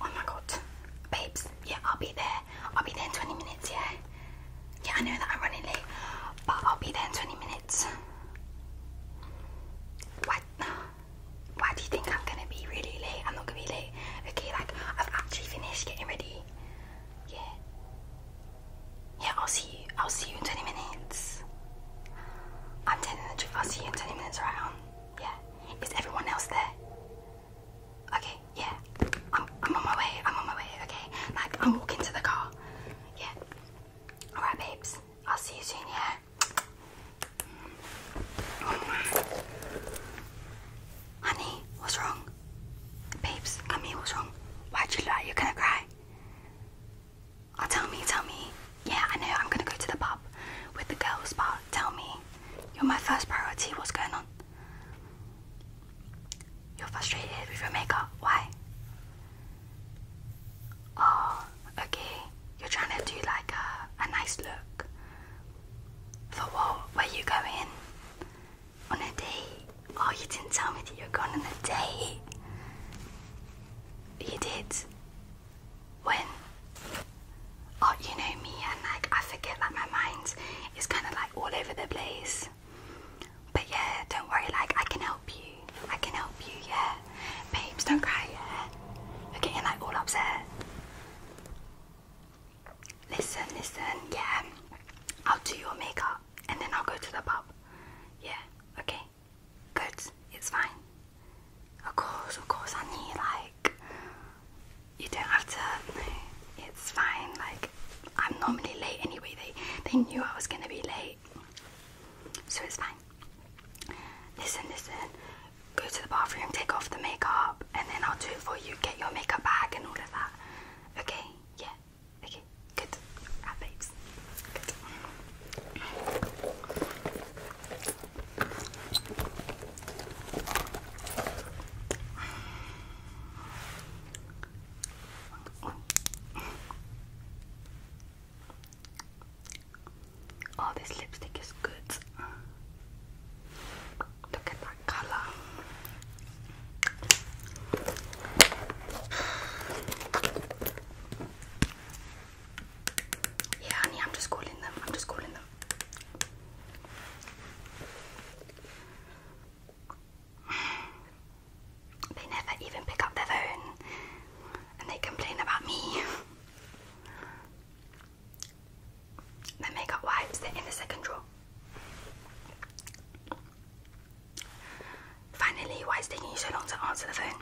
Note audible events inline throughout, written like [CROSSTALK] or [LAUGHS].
Oh my god. Babes, yeah, I'll be there. I'll be there in 20 minutes, yeah? Yeah, I know that I'm running late, but I'll be there in 20 minutes. Why, why do you think I'm gonna be really late? I'm not gonna be late. Okay, like, I've actually finished getting ready. Yeah. Yeah, I'll see you. I'll see you in 20 minutes. I'm telling the truth. I'll see you in 20 minutes, right? Yeah. Is everyone else there? Okay, yeah. I'm I'm on my way. I'm on my way, okay? Like I'm walking to the car. Yeah. Alright babes. I'll see you soon, yeah? Honey, what's wrong? Babes, come here, what's wrong? Why'd you lie? You're gonna cry. Oh, tell me, tell me. Yeah, I know. I'm gonna go to the pub with the girls, but tell me, you're my first priority. What's going on? You're frustrated with your makeup. Why? Oh, okay. You're trying to do like a, a nice look. For what? Where you going? On a date? Oh, you didn't tell me that you're going on a date. You did when oh you know me and like I forget like my mind is kind of like all over the place but yeah don't worry like I can help you I can help you yeah babes don't cry yeah you're getting like all upset listen listen yeah I'll do your makeup and then I'll go to the pub yeah okay good it's fine of course, of course, I knew, like, you don't have to, it's fine, like, I'm normally late anyway, they, they knew I was gonna be late, so it's fine. Listen, listen, go to the bathroom, take off the makeup, and then I'll do it for you, get your makeup bag and all of that, okay? Yeah, okay, good, right, babes, good. Oh, this lipstick is good. Look at that colour. Yeah, honey, I'm just calling them. I'm just calling them. They never even pick up their phone and they complain about me. The makeup wipes, they're in the second drawer. Finally, why is taking you so long to answer the phone?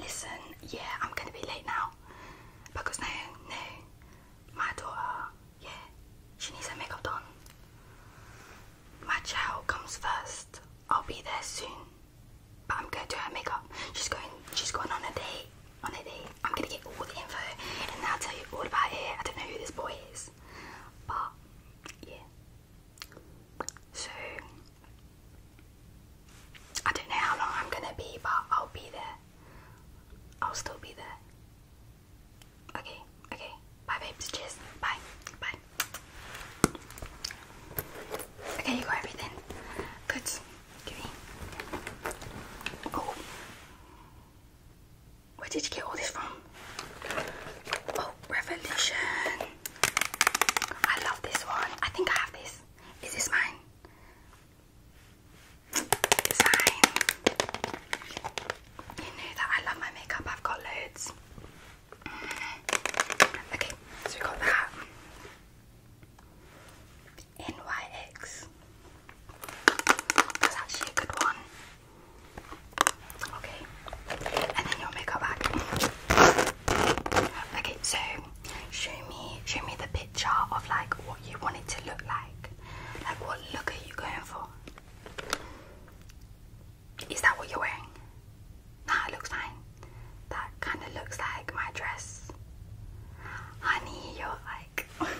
Listen, yeah, I'm gonna be late now because now, now, my daughter, yeah, she needs her makeup done. My child comes first. I'll be there soon, but I'm gonna do her makeup. She's going, she's going on a date. On a date, I'm gonna get all the info, and then I'll tell you all about it. I don't know who this boy is, but yeah. So I don't know how long I'm gonna be, but I'll be there. I'll still be there. Okay, okay. Bye, babes. Cheers. Bye. Bye. Okay, you got everything. Good. Give me. Oh. Where did you get all this from? Oh, Revolution. I love this one. I think I have this. Is this mine? You know that I love my makeup, I've got loads. Mm. Okay, so we got that. NYX. That's actually a good one. Okay, and then your makeup bag. Okay, so show me show me the picture of like what you want it to look like. Like what look are you going for? Is that what you're wearing? Nah, it looks fine. That kind of looks like my dress. Honey, you're like. [LAUGHS]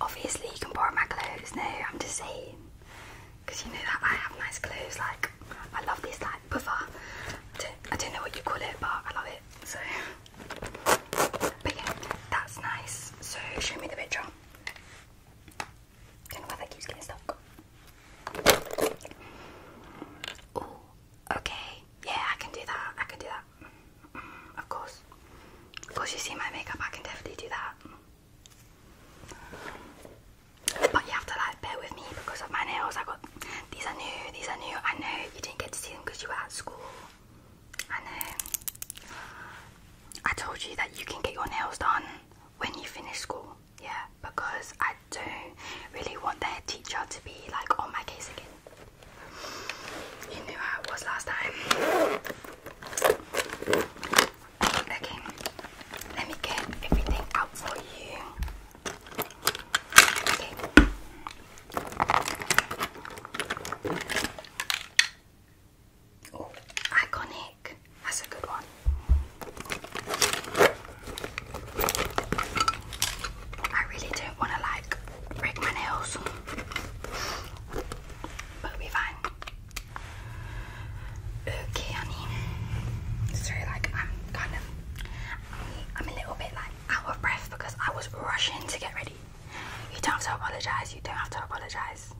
Obviously, you can borrow my clothes. No, I'm just saying. Because you know that I have nice clothes. Like, I love this, like, puffer. I don't know what you call it, but I love it so but yeah, that's nice. So show me the picture. do Oh, okay. Yeah, I can do that. I can do that. Mm, of course. Of course you see my makeup, I can definitely do that. But you have to like bear with me because of my nails. I got these are new, these are new. I know you didn't get to see them because you were at school. I know. I told you that you can get your nails done when you finish school, yeah, because I do really want their teacher to be like on oh, my case again. You knew how it was last time. Okay, let me get everything out for you. Oh, iconic. That's a good one. I really don't want to like break my nails, but we fine. Okay, honey. Sorry, like I'm kind of, I'm a little bit like out of breath because I was rushing to get ready. You don't have to apologize. You don't have to apologize.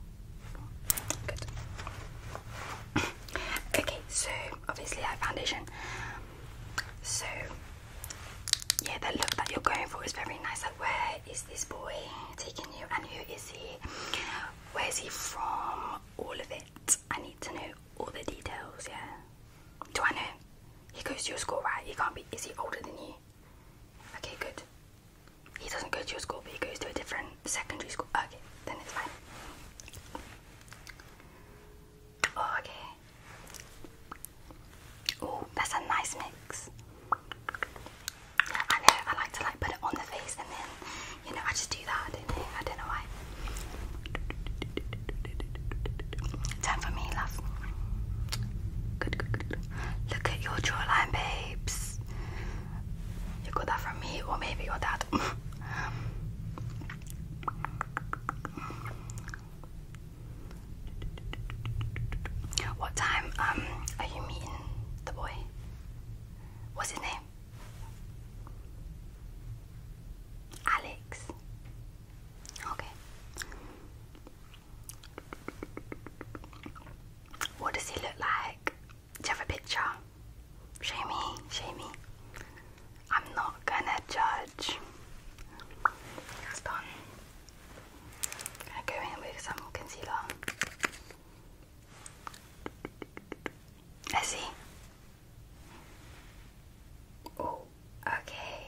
Good. okay, so obviously I have foundation. So yeah, the look that you're going for is very nice. Like, where is this boy taking you, and who is he? Where is he from? All of it. I need to know all the details. Yeah. Do I Twenty. He goes to your school, right? He can't be. Is he older than you? Okay, good. He doesn't go to your school, but he goes to a different secondary school. Okay, then it's fine. Oh, okay. Oh, that's a nice mix. Yeah, I know. I like to like put it on the face, and then you know I just do that. I don't know why. Time for me, love. Look at your jawline, babes. You got that from me, or maybe your dad. what time um are you meeting the boy? What's his name? Ali. Okay. What does he look like? Do you have a picture? Show me, I'm not gonna judge. That's done. I'm going with some concealer. let see. Oh, okay.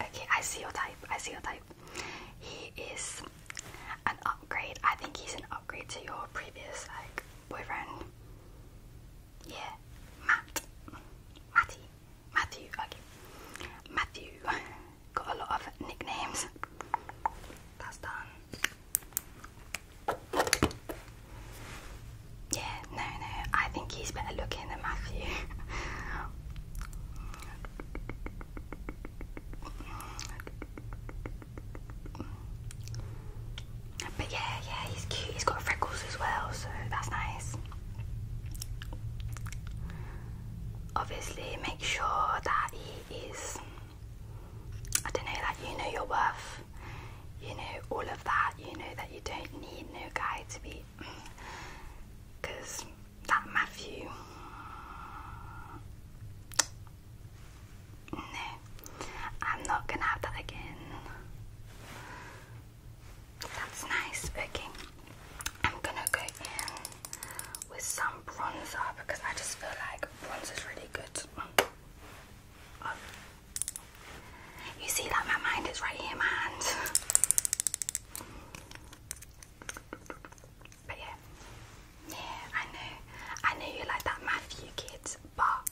Okay, I see your type. I see your type. He is an upgrade. I think he's an upgrade to your previous like boyfriend. Yeah, Matt. Matty. Matthew. Okay. Matthew. Got a lot of nicknames. That's done. Yeah, no, no, I think he's better looking than Matthew. But yeah, yeah, he's cute. He's got freckles as well, so that's nice. Obviously, make sure that he is. I don't know, like you know your worth you know, all of that, you know, that you don't need no guy to be. Because that Matthew. No, I'm not gonna have that again. That's nice. Okay, I'm gonna go in with some bronzer because I just feel like bronzer is really good. Um, you see that my mind is right here in my hands. But yeah. Yeah, I know. I know you like that Matthew kid, but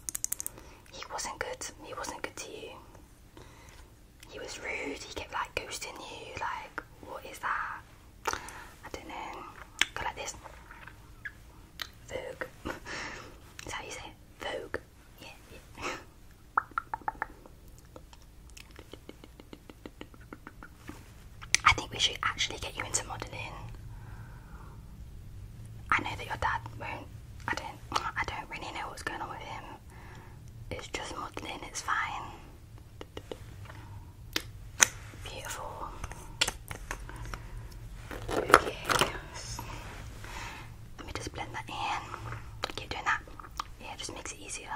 he wasn't good. He wasn't good to you. He was rude, he kept like ghosting you, like what is that? I don't know. Go like this. Vogue. [LAUGHS] is how you say it? Vogue. I think we should actually get you into modelling. I know that your dad won't. I don't. I don't really know what's going on with him. It's just modelling. It's fine. Beautiful. Okay. Let me just blend that in. Keep doing that. Yeah, it just makes it easier.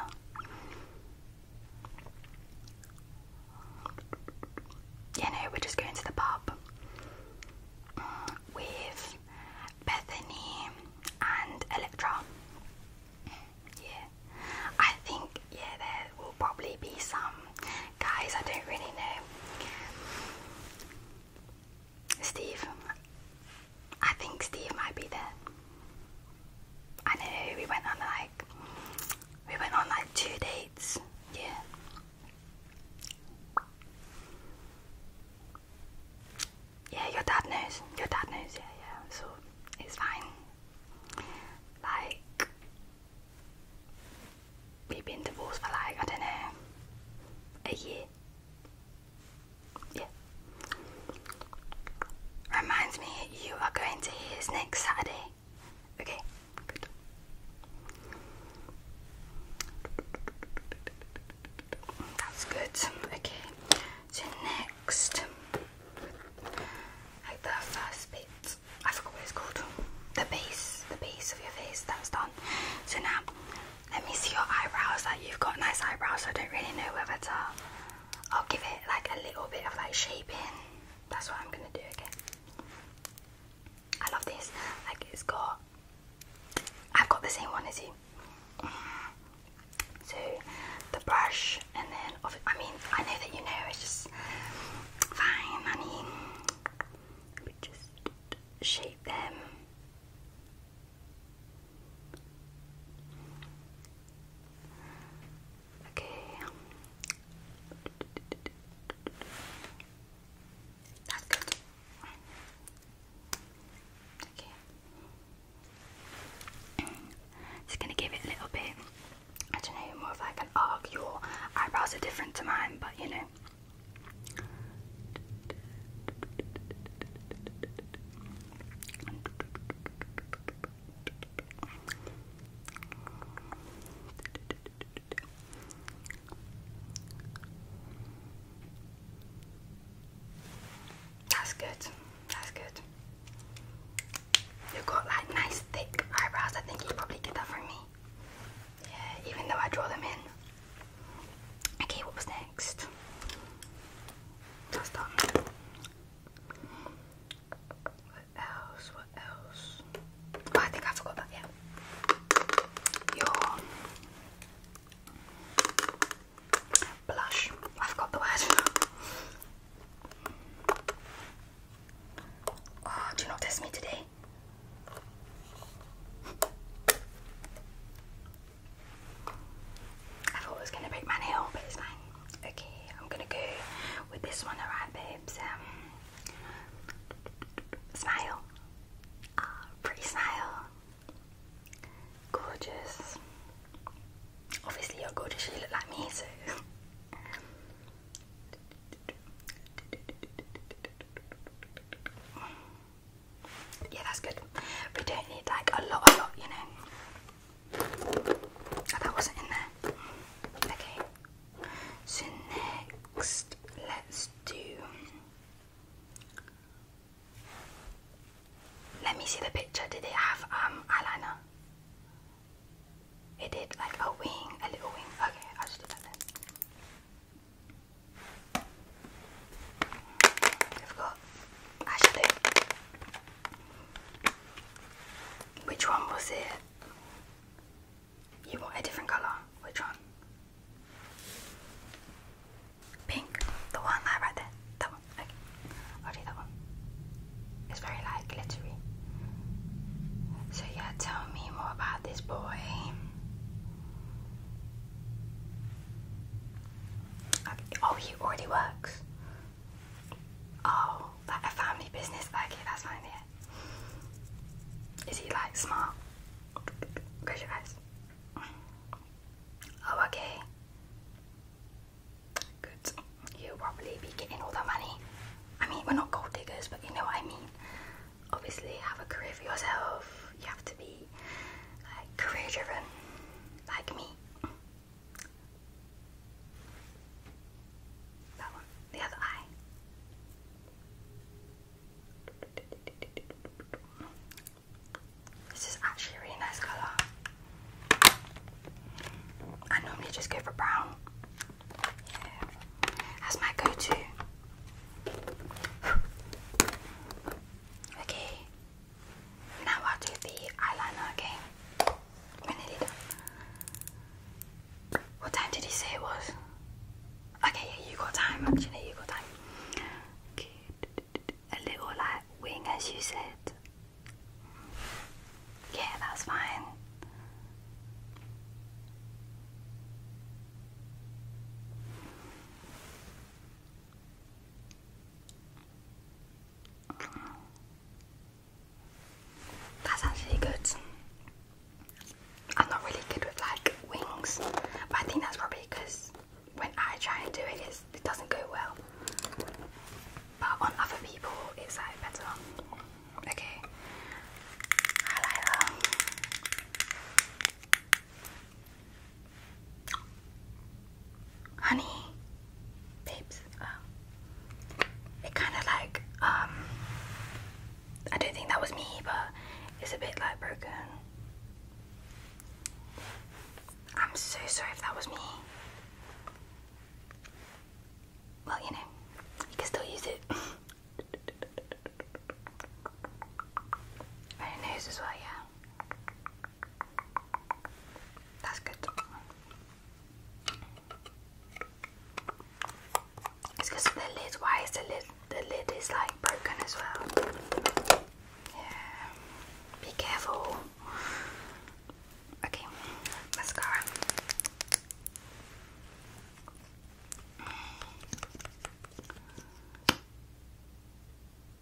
Yeah, no, we're just going to the pub with Bethany and Electra. Yeah, I think, yeah, there will probably be some guys I don't really know. Steve. I think Steve might be there. I know we went on like we went on like two dates. Yeah. Yeah, your dad knows. Your dad knows, yeah, yeah. So it's fine. Like we've been divorced for like, I don't know, a year. Yeah. Reminds me, you are going to his next Saturday. Okay, That's good. Okay, so next, like the first bit, I forgot what it's called. The base, the base of your face, that's done. So now let me see your eyebrows. Like you've got nice eyebrows, I don't really know whether to. I'll give it like a little bit of like shaping. That's what I'm gonna do again. I love this. Like it's got. I've got the same one as you. Mm-hmm. So the brush, and then I mean I know that you know it's just fine, honey. But just shape them. Okay. That's good. Okay. Just gonna give it a little bit. I more like an arc. Your eyebrows are different to mine, but you know. That's good. That's good. You've got like nice thick eyebrows. I think you probably get that from me. Yeah, even though I draw them in. Okay, what was next? That's done. What else? What else? Oh, I think I forgot that, yeah. Your blush. I forgot the word. Oh, do not test me today. I thought I was gonna break my nail, but it's fine. Okay, I'm gonna go with this one, alright, babes. Um, smile. Uh, pretty smile. Gorgeous. Obviously, you're gorgeous. You look like me, so. Yeah, that's good. We don't need like a lot, a lot, you know. Oh, that wasn't in there. Okay. So next, let's do. Let me see the picture. Did it have um eyeliner? It did like a wing, a little wing. Okay, I'll do that then. I've Which one was it? You want a different colour? Which one? Pink, the one that right there. That one. Okay. i do that one. It's very like glittery. So yeah, tell me more about this boy. Oh, he already works. Oh, like a family business. Okay, Yeah. Is he like smart? Close your eyes. Oh, okay. Good. You'll probably be getting all that money. I mean, we're not gold diggers, but you know what I mean obviously have a career for yourself, you have to be like career driven, like me. That one, the other eye. This is actually really nice colour. I normally just go for brown, yeah, that's my go-to. [LAUGHS] okay, now I'll do the eyeliner. Okay, we're nearly What time did he say it was? Okay, yeah, you got time. Actually, you got time. Okay, a little like wing, as you said. Yeah, that's fine. That sounds really good. I'm not really good with like wings, but I think that's probably because when I try and do it, it doesn't go well. But on other people, it's like better. Okay. Highlighter. Honey, babes. Um, it kind of like um. I don't think that was me, but it's a bit like broken. I'm so sorry if that was me. Well, you know, you can still use it. [LAUGHS] And your as well, yeah. That's good. It's because the lid. Why is the lid? The lid is like broken as well. Yeah. Be careful. Okay, mascara.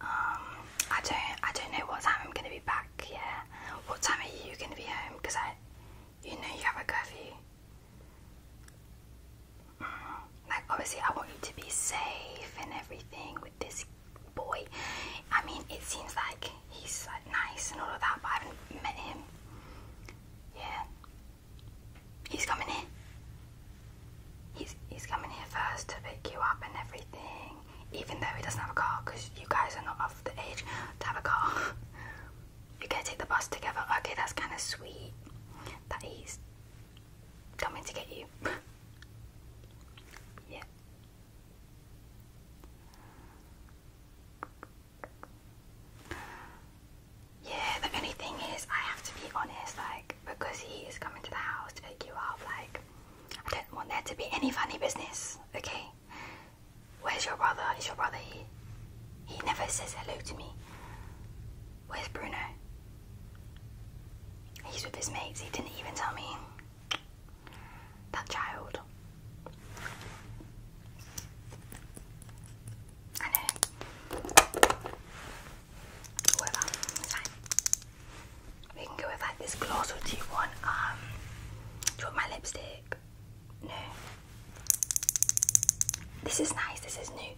Um, I don't, I don't know what time I'm gonna be back. Yeah, what time are you gonna be home? Cause I, you know, you have a curfew. Like obviously, I want you to be safe and everything with this boy. I mean, it seems like he's like nice and all of that, but I haven't met him. Yeah, He's coming here. He's he's coming here first to pick you up and everything, even though he doesn't have a car because you guys are not of the age to have a car. [LAUGHS] You're gonna take the bus together. Okay, that's kind of sweet that he's coming to get you. [LAUGHS] yeah. Yeah, the only thing is, I have to be honest, like, because he is coming to the house to pick you up, like, I don't want there to be any funny business, okay? Where's your brother? Is your brother here? He never says hello to me. Where's Bruno? He's with his mates, he didn't even tell me. That child. We can go with like this gloss or do you want um do you want my lipstick? No. This is nice, this is new.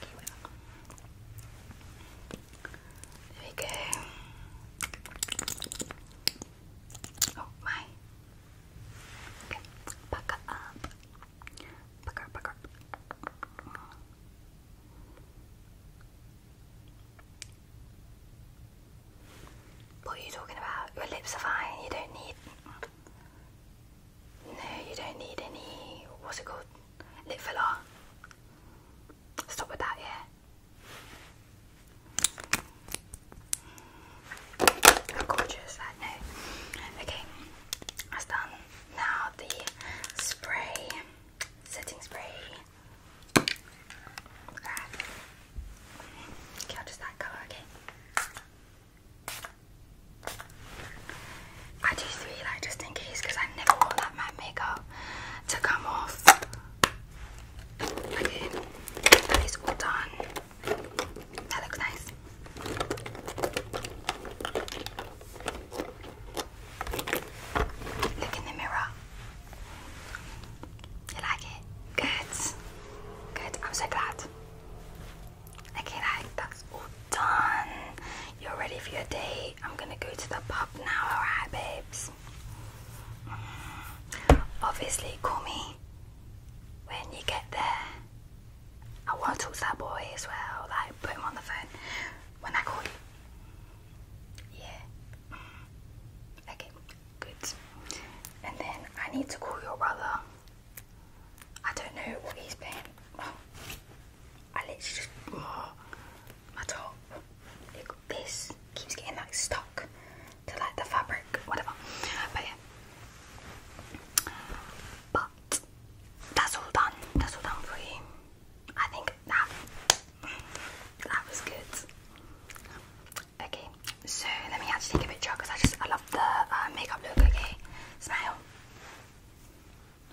There we go. Oh my what are you talking about? Your lips are fine, you don't need. No, you don't need any. What's it called? Lip filler. Stop with that, yeah gorgeous, I know. Okay, that's done. Now the spray, setting spray. Okay, I'll just that colour, okay? I do three, like, just in case, because I never want that makeup to come off. Okay, that is all done. That looks nice. Look in the mirror. You like it? Good. Good. I'm so glad. Okay, like that's all done. You're ready for your day. I'm gonna go to the pub now, alright, babes? Mm. Obviously, call me when you get there, I want to talk to that boy as well, like put him on the phone when I call you. Yeah. Mm. Okay, good. And then I need to call your brother. I don't know what he's been. Oh, I literally just. my top. Look, this keeps getting like stuck to like the fabric, whatever. But yeah. But that's all done. That's all done for I think that that was good. Okay, so let me actually take a picture because I just I love the uh, makeup look. Okay, smile.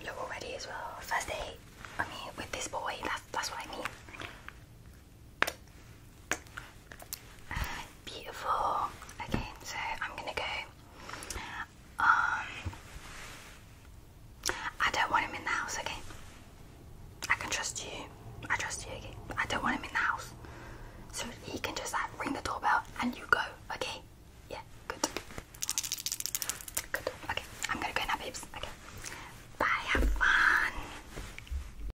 Look already as well. First day. I mean, with this boy. That's that's what I mean. Beautiful. Okay, so I'm gonna go. Um, I don't want him in the house, okay? I can trust you. I trust you, okay? I don't want him in the house. So he can just like ring the doorbell and you go, okay? Yeah, good. Good. Okay, I'm gonna go now, babes. Okay. Bye, have fun.